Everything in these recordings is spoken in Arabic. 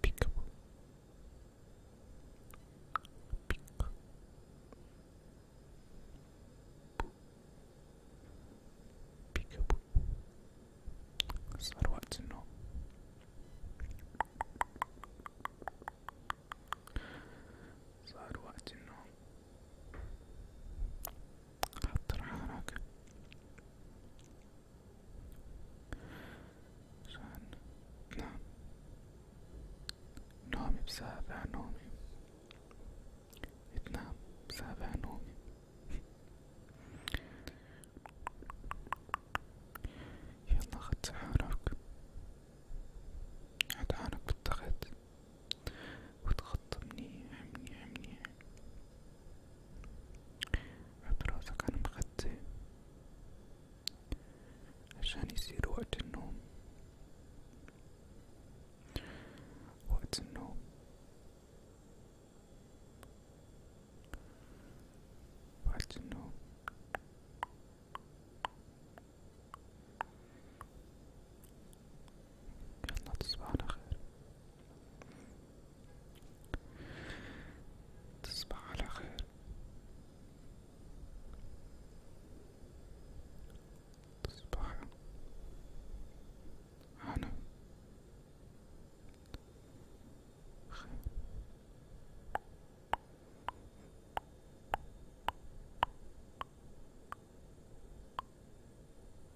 pick up pick up pick up صار وقت النوم صار وقت النوم حط راحتك عشان نعم نومي بسابع نومي تنام بسابع نومي يلا خد سحارك عدعانك بالتخت وتخط منيح منيح منيح حط راسك على المخدة عشان يصير وقت النوم وقت النوم وقت النوم يلا تصبح على خير تصبح على خير تصبح على خير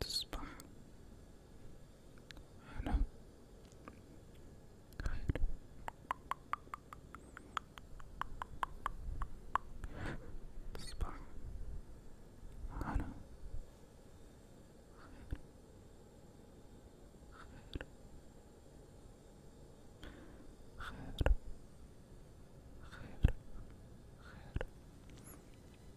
تصبح أنا خير تصبح أنا خير خير خير خير خير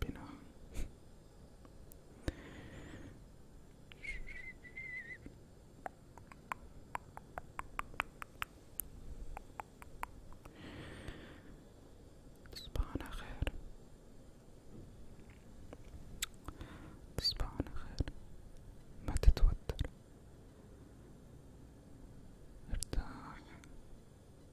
كبيناها تصبح على خير تصبح على خير ما تتوتر ارتاح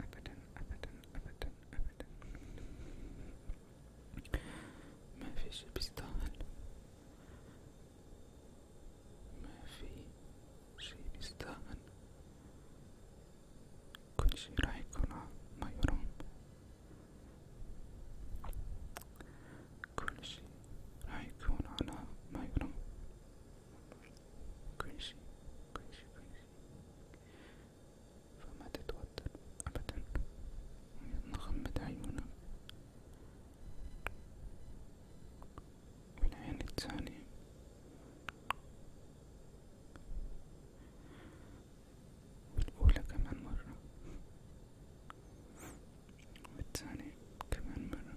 أبدا أبدا أبدا أبدا ما في شي بيستاهل ما في شي بيستاهل كل شي راح يكون ما يرام كل شي راح يكون على ما يرام كل شي كل شي كل فما تتوتر أبدا غمض عيونك والعين الثانية والأولى كمان مرة والثانية كمان مرة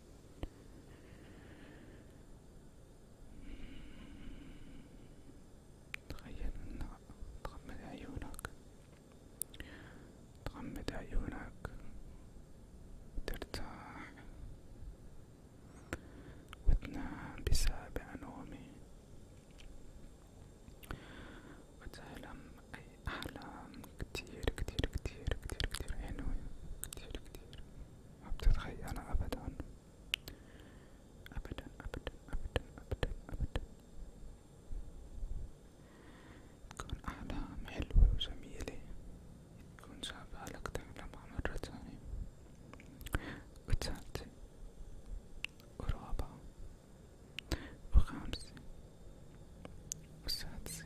تخيل أن تغمض عيونك تغمض عيونك وترتاح وتنام بسابع نومي وتحلم أي أحلام كتير كتير كتير كتير كتير حلوة كتير كتير ما بتتخيلها أبدا أبدا أبدا أبدا أبدا أبدا تكون أحلام حلوة وجميلة تكون شابها لك تعلمها مرة تانية وتالتة ورابعة وخامسة وسادسة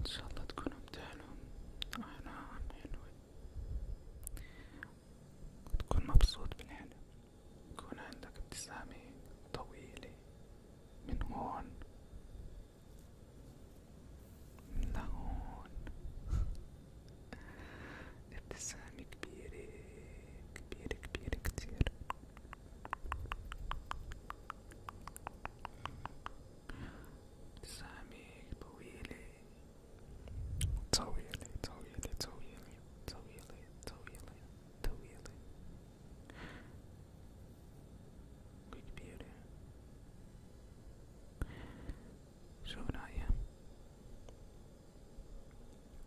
ان شاء الله تكونوا بتحلم انا عم ينوي وتكون مبسوط بالحلم يكون عندك ابتسامة طويلة من هون لهون ابتسامة كبيرة كبيرة كبيرة كتير ابتسامة طويلة طويلة طويلة طويلة طويلة طويلة طويلة وكبيرة شو رأيك؟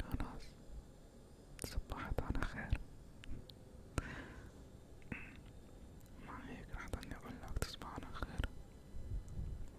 خلاص صبحت على خير مع هيك رح ضلني أقولك تصبح على خير